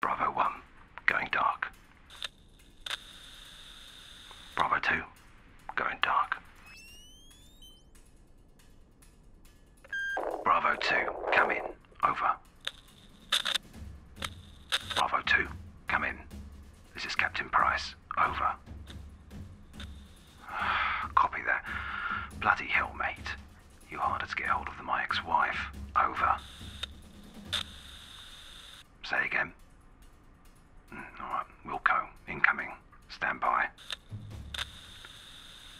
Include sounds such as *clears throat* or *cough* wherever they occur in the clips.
Bravo 1, going dark. Bravo 2, going dark. Bravo 2, come in, over. Bravo 2, come in. This is Captain Price, over. *sighs* Copy that. Bloody hell, mate. You harder to get hold of than my ex-wife. Over. Say again. Mm, Alright, Wilco, incoming. Stand by.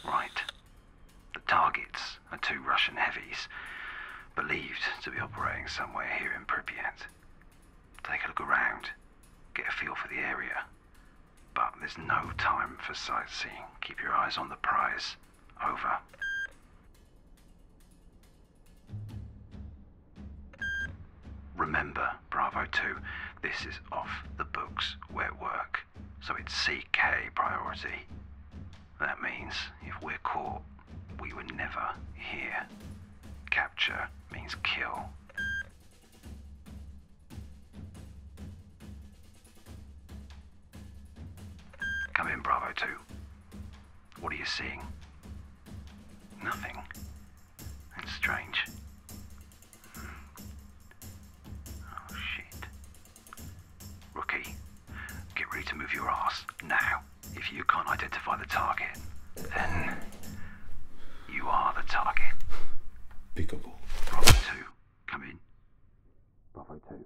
Right. The targets are two Russian heavies, believed to be operating somewhere here in Pripyat. Take a look around, get a feel for the area. But there's no time for sightseeing. Keep your eyes on the prize. Over. Remember, Bravo 2, this is off the books wet work, so it's CK priority. That means if we're caught, we would never hear. Capture means kill. Come in, Bravo 2. What are you seeing? Nothing. It's strange. Hmm. Oh, shit. Rookie, get ready to move your ass now. If you can't identify the target, then you are the target. Pickable. Bravo 2, come in. Bravo 2.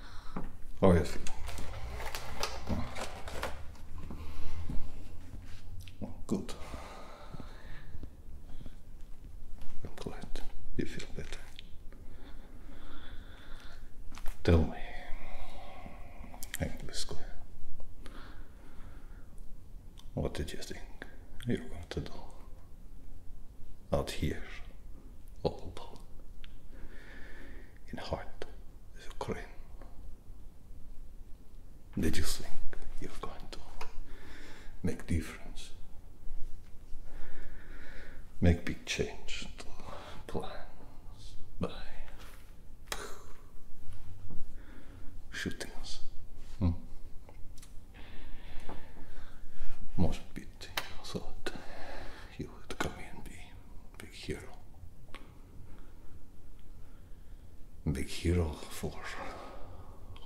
Oh, yes. good. I'm glad you feel better. Tell me, English Square, what did you think you were going to do out here or In heart is Ukraine. Did you think you're going to make difference? Make big change to plans by shooting us. Hmm? Может быть, he would come in be big hero. Big hero for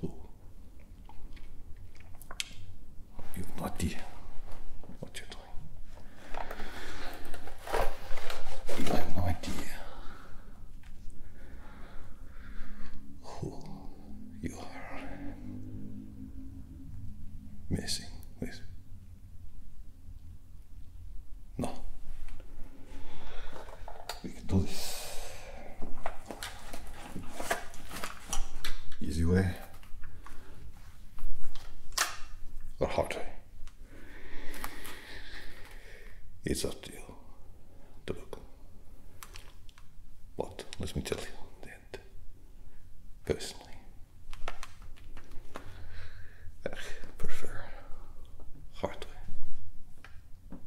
who? You naughty. What you doing? You have no idea who you are messing with. No. We can do this. Easy way or hard way. It's up to you to look. But let me tell you that personally, I prefer hard way.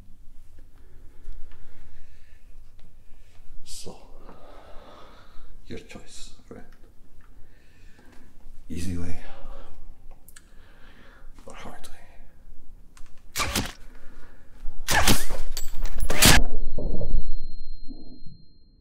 So, your choice, friend. Easy way or hard way.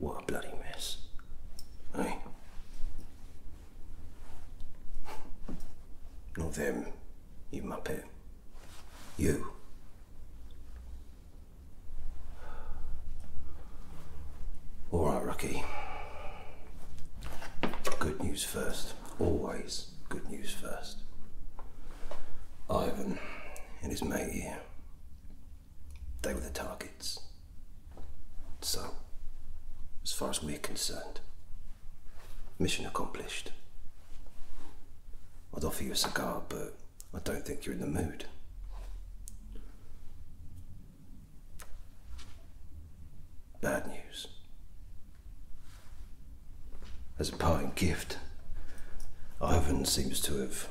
What a bloody mess. Hey? Not them, you pet. You. All right, Rocky. Good news first. Always good news first. Ivan and his mate here, they were the targets. So, as far as we're concerned, Mission accomplished. I'd offer you a cigar, but I don't think you're in the mood. Bad news. As a parting gift, Ivan seems to have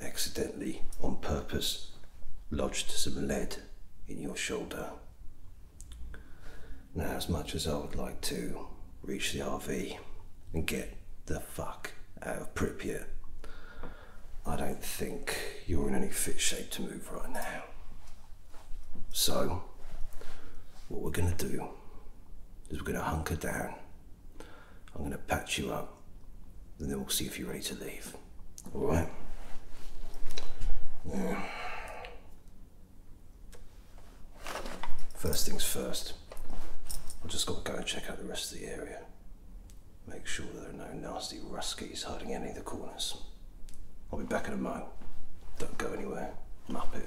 accidentally, on purpose, lodged some lead in your shoulder. Now, as much as I would like to reach the RV and get the fuck out of Pripyat, I don't think you're in any fit shape to move right now. So, what we're gonna do is we're gonna hunker down. I'm gonna patch you up, and then we'll see if you're ready to leave. Alright? First things first, I've just got to go and check out the rest of the area. Make sure there are no nasty ruskies hiding any of the corners. I'll be back in a moment. Don't go anywhere. Muppet.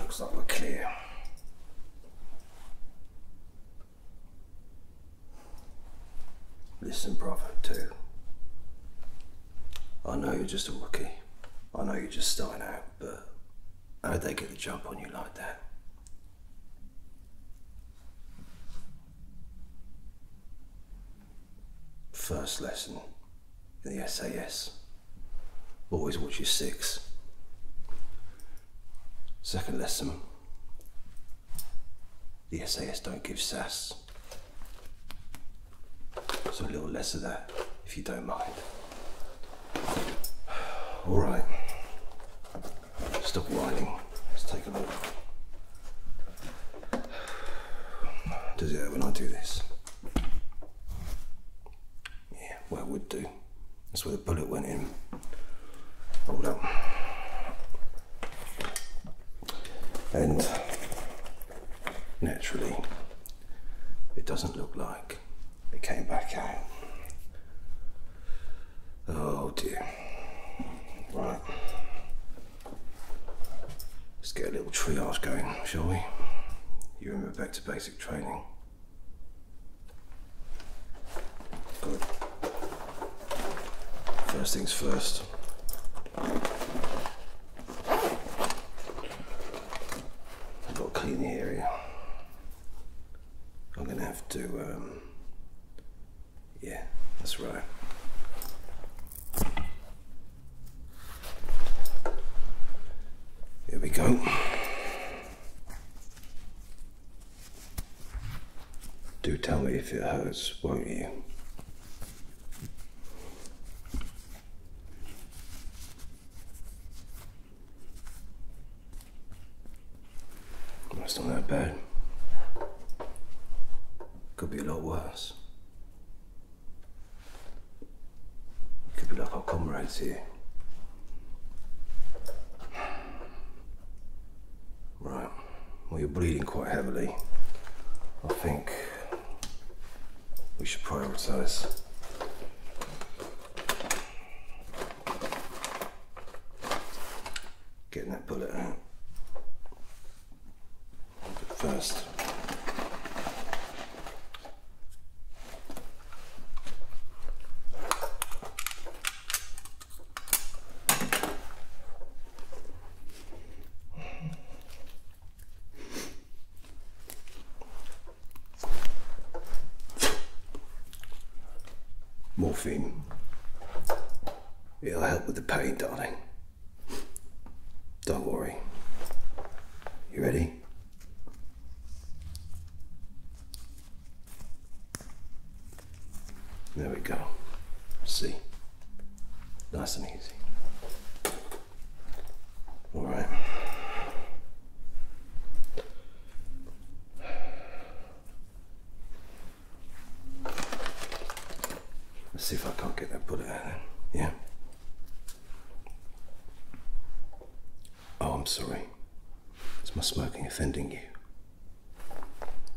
Looks like we're clear. Listen, brother, too. I know you're just a rookie. I know you're just starting out, but How'd they get the jump on you like that? First lesson in the SAS. Always watch your six. Second lesson. The SAS don't give sass. So a little less of that, if you don't mind. All right, stop whining. Let's take a look. Does it hurt when I do this? Yeah, well it would do. That's where the bullet went in. Hold on. And naturally, it doesn't look like it came back out. Oh dear. Right. Let's get a little triage going, shall we? You remember back to basic training. Good. First things first. I've got clean the area. I'm going to have to, um, yeah, that's right. Here we go. Do tell me if it hurts, won't you? That's not that bad. Could be a lot worse. Keep be like our comrades here. Right. Well, you're bleeding quite heavily. I think we should prioritize. Getting that bullet out. first, Morphine. It'll help with the pain, darling. Don't worry. You ready? There we go. See? Nice and easy. All right. Let's see if I can't get that bullet out then. Yeah. Oh, I'm sorry. Is my smoking offending you?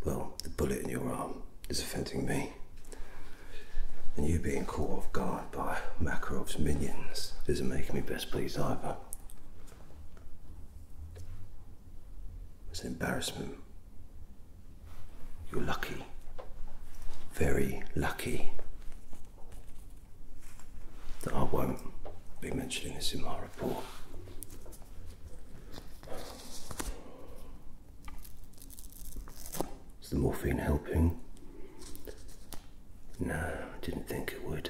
Well, the bullet in your arm is offending me. And you being caught off guard by Makarov's minions isn't making me best pleased either. It was an embarrassment. You're lucky. Very lucky that I won't be mentioning this in my report. Is the morphine helping? No, I didn't think it would.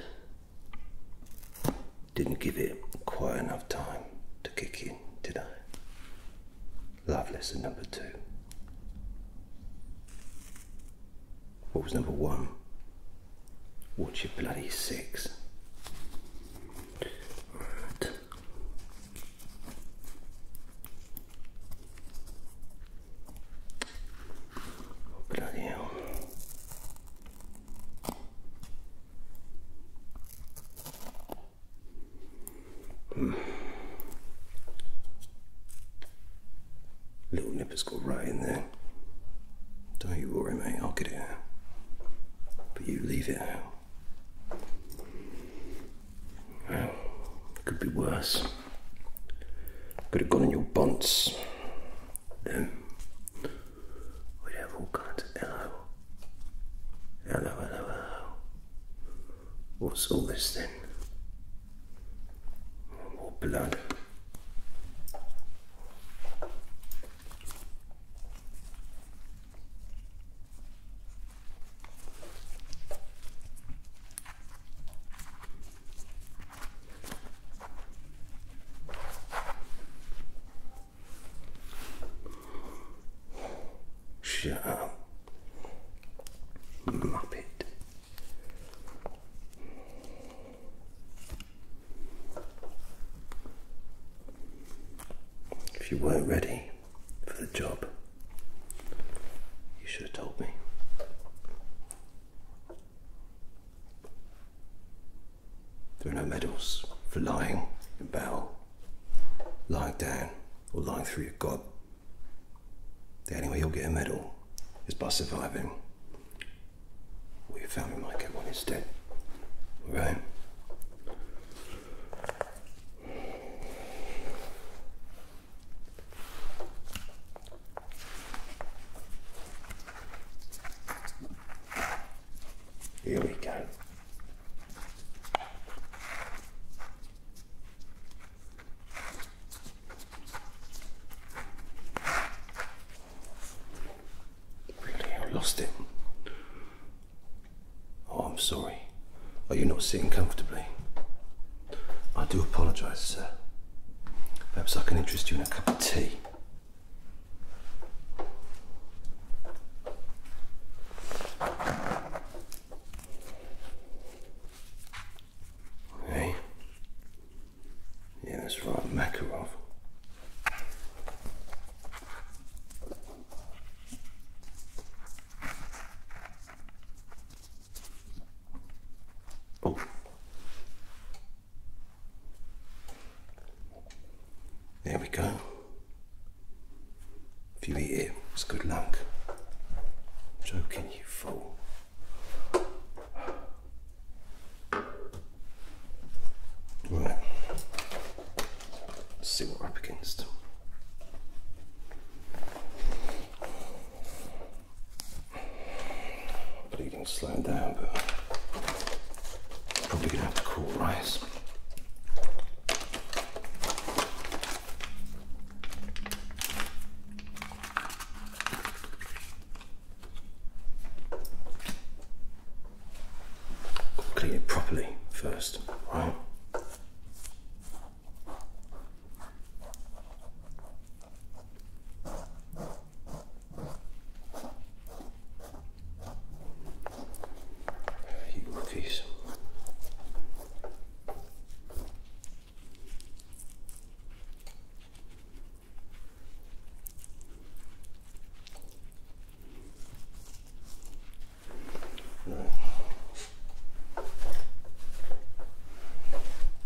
Didn't give it quite enough time to kick in, did I? Love lesson number two. What was number one? Watch your bloody six? bloody hell. Mm. Little nipper's got right in there. Don't you worry, mate, I'll get it out. But you leave it out. Well, could be worse. Could have gone in your buns. Um, we have all kinds of hello, hello, hello. What's all this then? More blood. Shut up. Muppet. If you weren't ready for the job, you should have told me. There are no medals for lying in battle, lying down, or lying through your gob. The only way you'll get a medal is by surviving. Or your family might get one instead. Alright? Here we go. Really, I lost it. Oh, I'm sorry. Are you not sitting comfortably? I do apologise, sir. Perhaps I can interest you in a cup of tea. Hey? Yeah, that's right, Makarov. Oh, there we go. If you eat it, it's good luck. I'm joking, you fool. Right. see what we're up against bleeding slowed down, but probably gonna have to cool rise. Clean it properly first, right? You rookies. Right.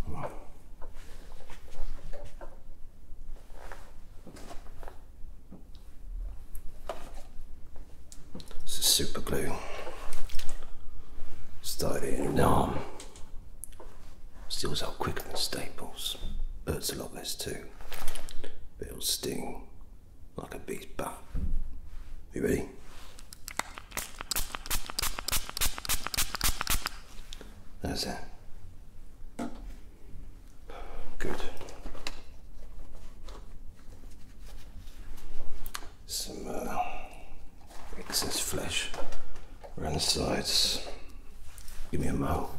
Wow. This is super glue. Styrene arm. Seals up quicker than staples. Hurts a lot less too. But it'll sting like a bee's butt. You ready? That's it. Good. Some uh, excess flesh around the sides. Give me a mo.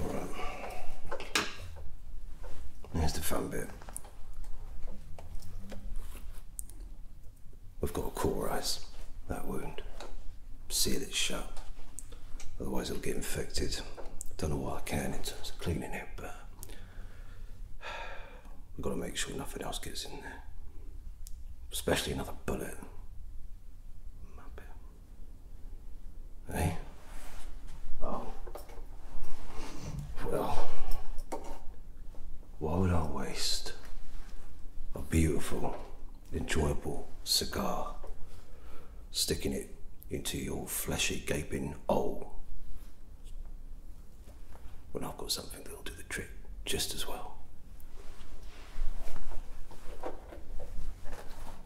Alright. Here's the fun bit. We've got to cauterize that wound, seal it shut, Otherwise it'll get infected. Don't know what I can in terms of cleaning it, but *sighs* we've got to make sure nothing else gets in there. Especially another bullet. Hey? Oh. Well, why would I waste a beautiful, enjoyable cigar sticking it into your fleshy, gaping hole. Well, I've got something that'll do the trick just as well.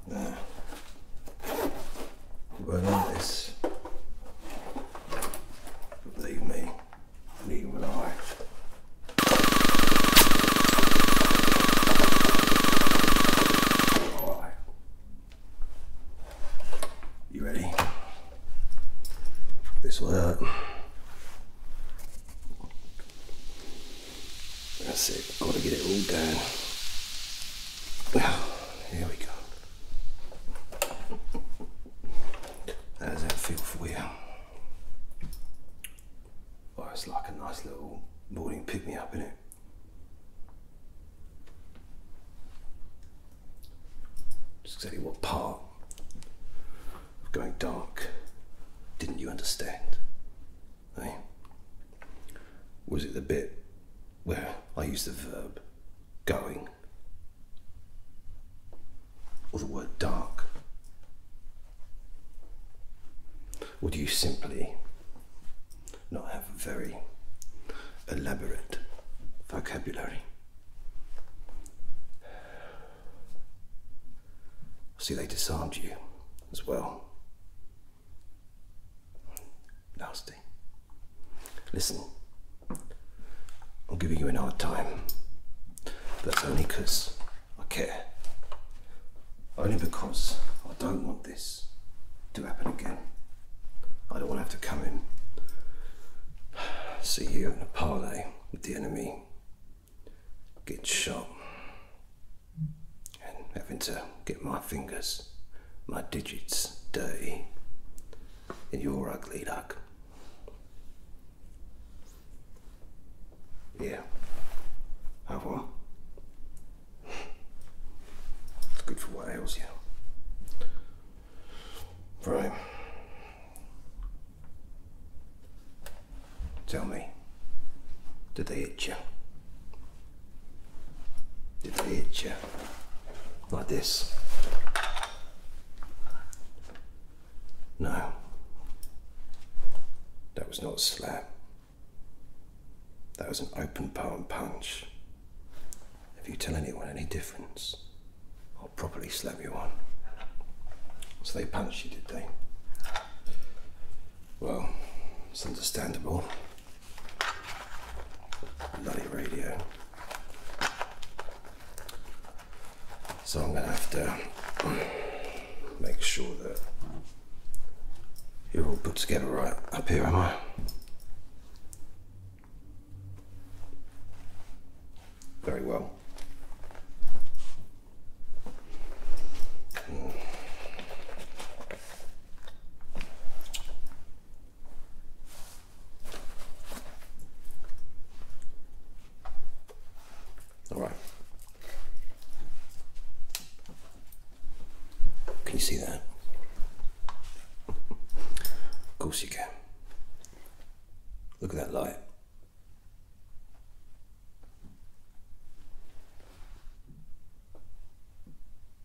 well, this. Believe me, believe me, I. You ready? This will up. That's it. I've got to get it all done. Well, Here we go. How does that feel for you? Oh, it's like a nice little morning pick me up, in it? there. Just exactly what part of going dark didn't you understand? Eh? Was it the bit where I used the verb going or the word dark? Would you simply not have a very elaborate vocabulary? See, they disarmed you as well. Nasty. Listen, I'm giving you an hard time. That's only because I care only because I don't want this to happen again. I don't want to have to come in, see you in a parley with the enemy, get shot, and having to get my fingers, my digits dirty, and your ugly luck. Yeah. Au revoir. It's good for what ails you. Right. Tell me, did they hit you? Did they hit you? Like this? No. That was not a slap. That was an open palm punch. If you tell anyone any difference, I'll properly slap you on. So they punched you, did they? Well, it's understandable. Bloody radio. So I'm gonna have to *clears throat* make sure that you're all put together right up here, am I? Very well. All right. Can you see that? Of course you can. Look at that light.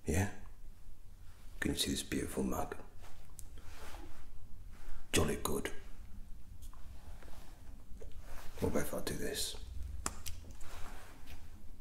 Yeah? Can you see this beautiful mug? Jolly good. What if I do this?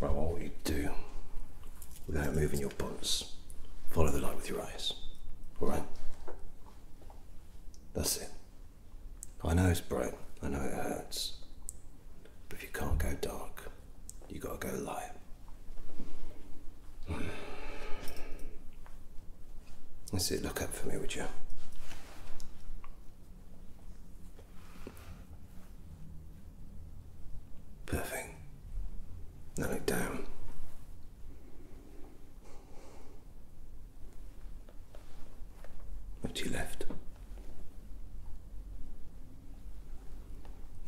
Right, what I you do, without moving your buns, follow the light with your eyes. Alright? That's it. I know it's bright, I know it hurts. But if you can't go dark, you gotta go light. Let's see. look up for me, would you? Perfect. Now look down. Look to left.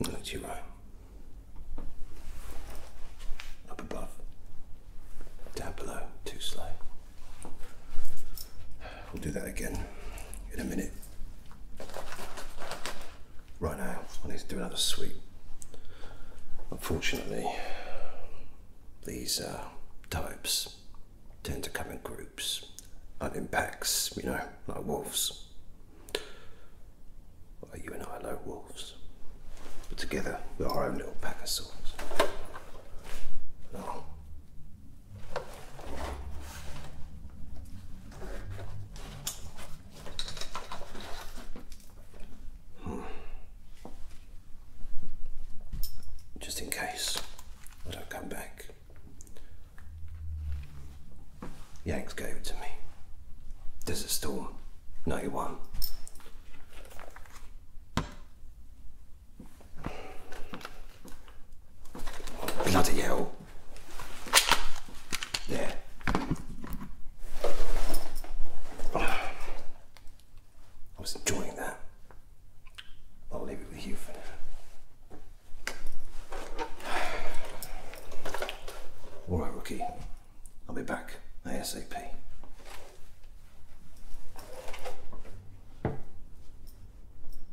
Now look right. Up above. Down below. Too slow. We'll do that again in a minute. Right now, I need to do another sweep. Unfortunately, these uh, types tend to come in groups and in packs, you know, like wolves. you and I are no wolves, but together we're our own little pack of souls. I'll just in case I don't come back. Yanks gave it to me. There's Desert Storm, 91. Bloody hell. Yeah, I was enjoying that. I'll leave it with you for now. All right, rookie. I'll be back ASAP.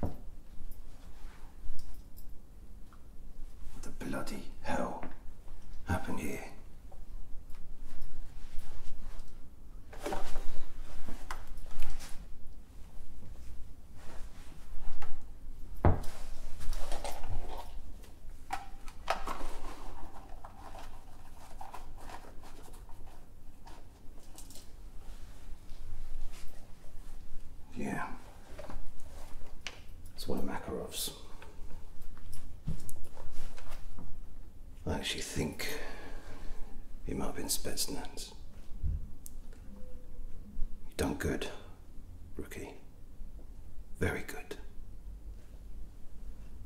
What the bloody hell happened here? Yeah. It's one of Makarov's. I actually think he might have been Spetsnaz. You've done good, rookie. Very good.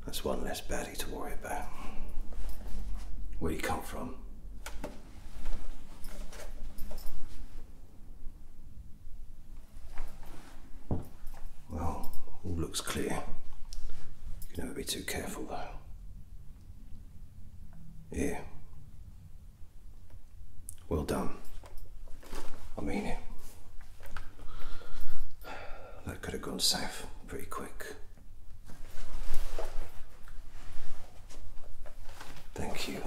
That's one less baddie to worry about. Where you come from? Well, all looks clear. You can never be too careful, though. Yeah. Well done. I mean it. That could have gone south pretty quick. Thank you.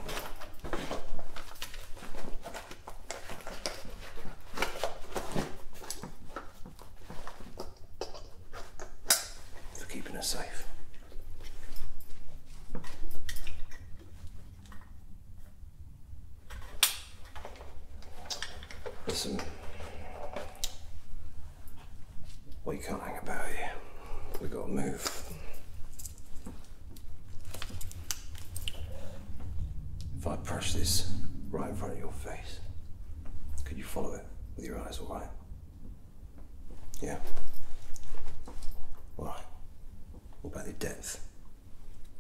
For keeping us safe. There's we can't hang about here. We have gotta move. If I press this right in front of your face, could you follow it with your eyes, all right? Yeah. All right. What about the depth?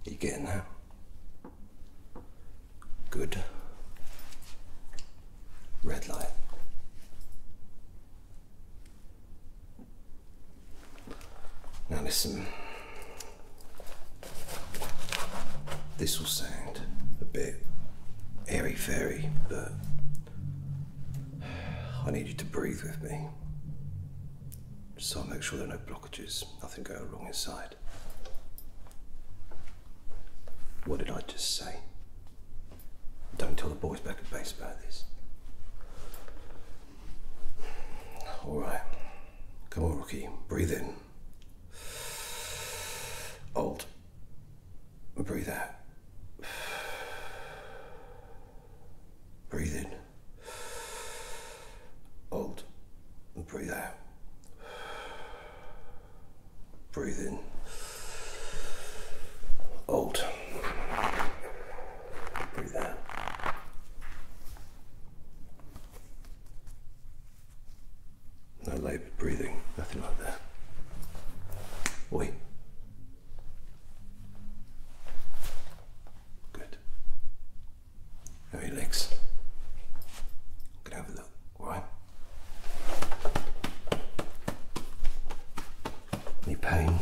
Are you getting that? Good. Red light. Now listen. This will sound a bit airy fairy, but I need you to breathe with me. So I'll make sure there are no blockages, nothing going wrong inside. What did I just say? Don't tell the boys back at base about this. All right. Come on, Rookie. Breathe in. Alt. Breathe out. Breathe in. Alt. Breathe out. Breathe in. Hold. Breathe out. No laboured breathing, nothing like that. Wait. Good. Now legs. Could have a look right? Any pain?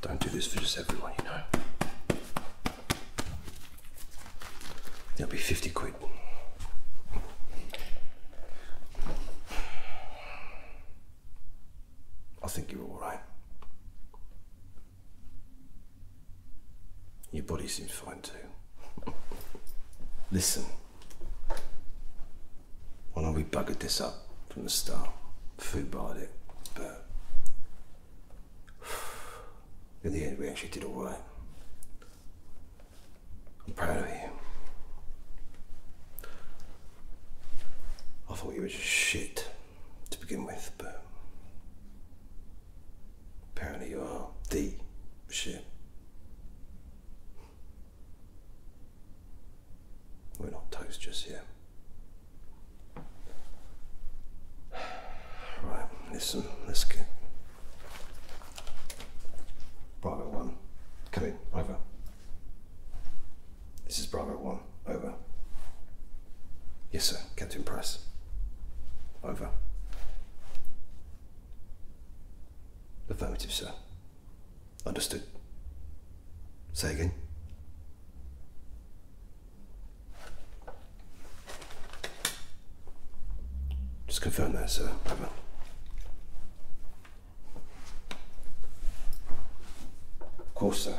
Don't do this for just everyone, you know. That'll be 50 quid. I think you're all right. Your body seems fine too. Listen. Why don't we buggered this up from the start? Food barred it, but in the end we actually did alright. I'm proud of you. I thought you were just shit to begin with, but apparently you are the shit. We're not toast just yet. Right, listen, let's get. Private one. Come in, over. This is Bravo 1. Over. Yes, sir. Captain Price. Over. Affirmative, sir. Understood. Say again. Just confirm that, sir. Over. Of course, sir.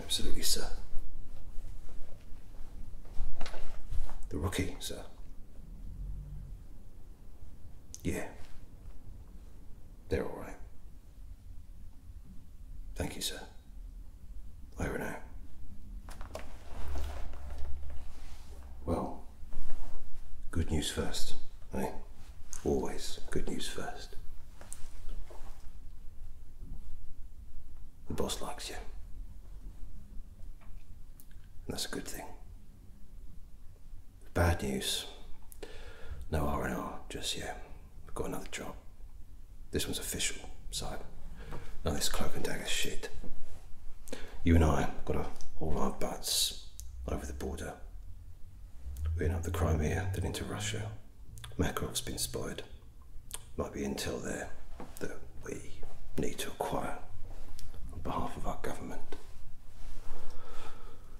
Absolutely, sir. The rookie, sir. Yeah. They're all right. Thank you, sir. Over now. Well, good news first, eh? Always good news first. The boss likes you. that's a good thing. Bad news. No R&R just yet. I've got another job. This one's official, so now this cloak and dagger shit. You and I got to haul our butts over the border. We are up the Crimea, then into Russia, Makarov's been spied. Might be intel there that we need to acquire on behalf of our government.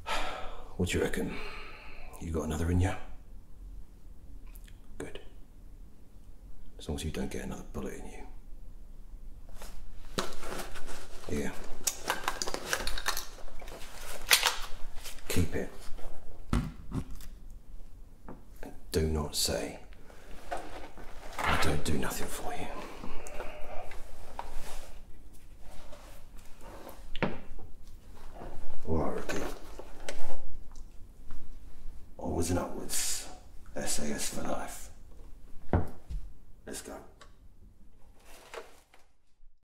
*sighs* What do you reckon? You got another in you? Good. As long as you don't get another bullet in you. Here. Keep it. do not say, I don't do nothing for you. Alright, Ricky. Onwards and upwards. SAS for life. Let's go.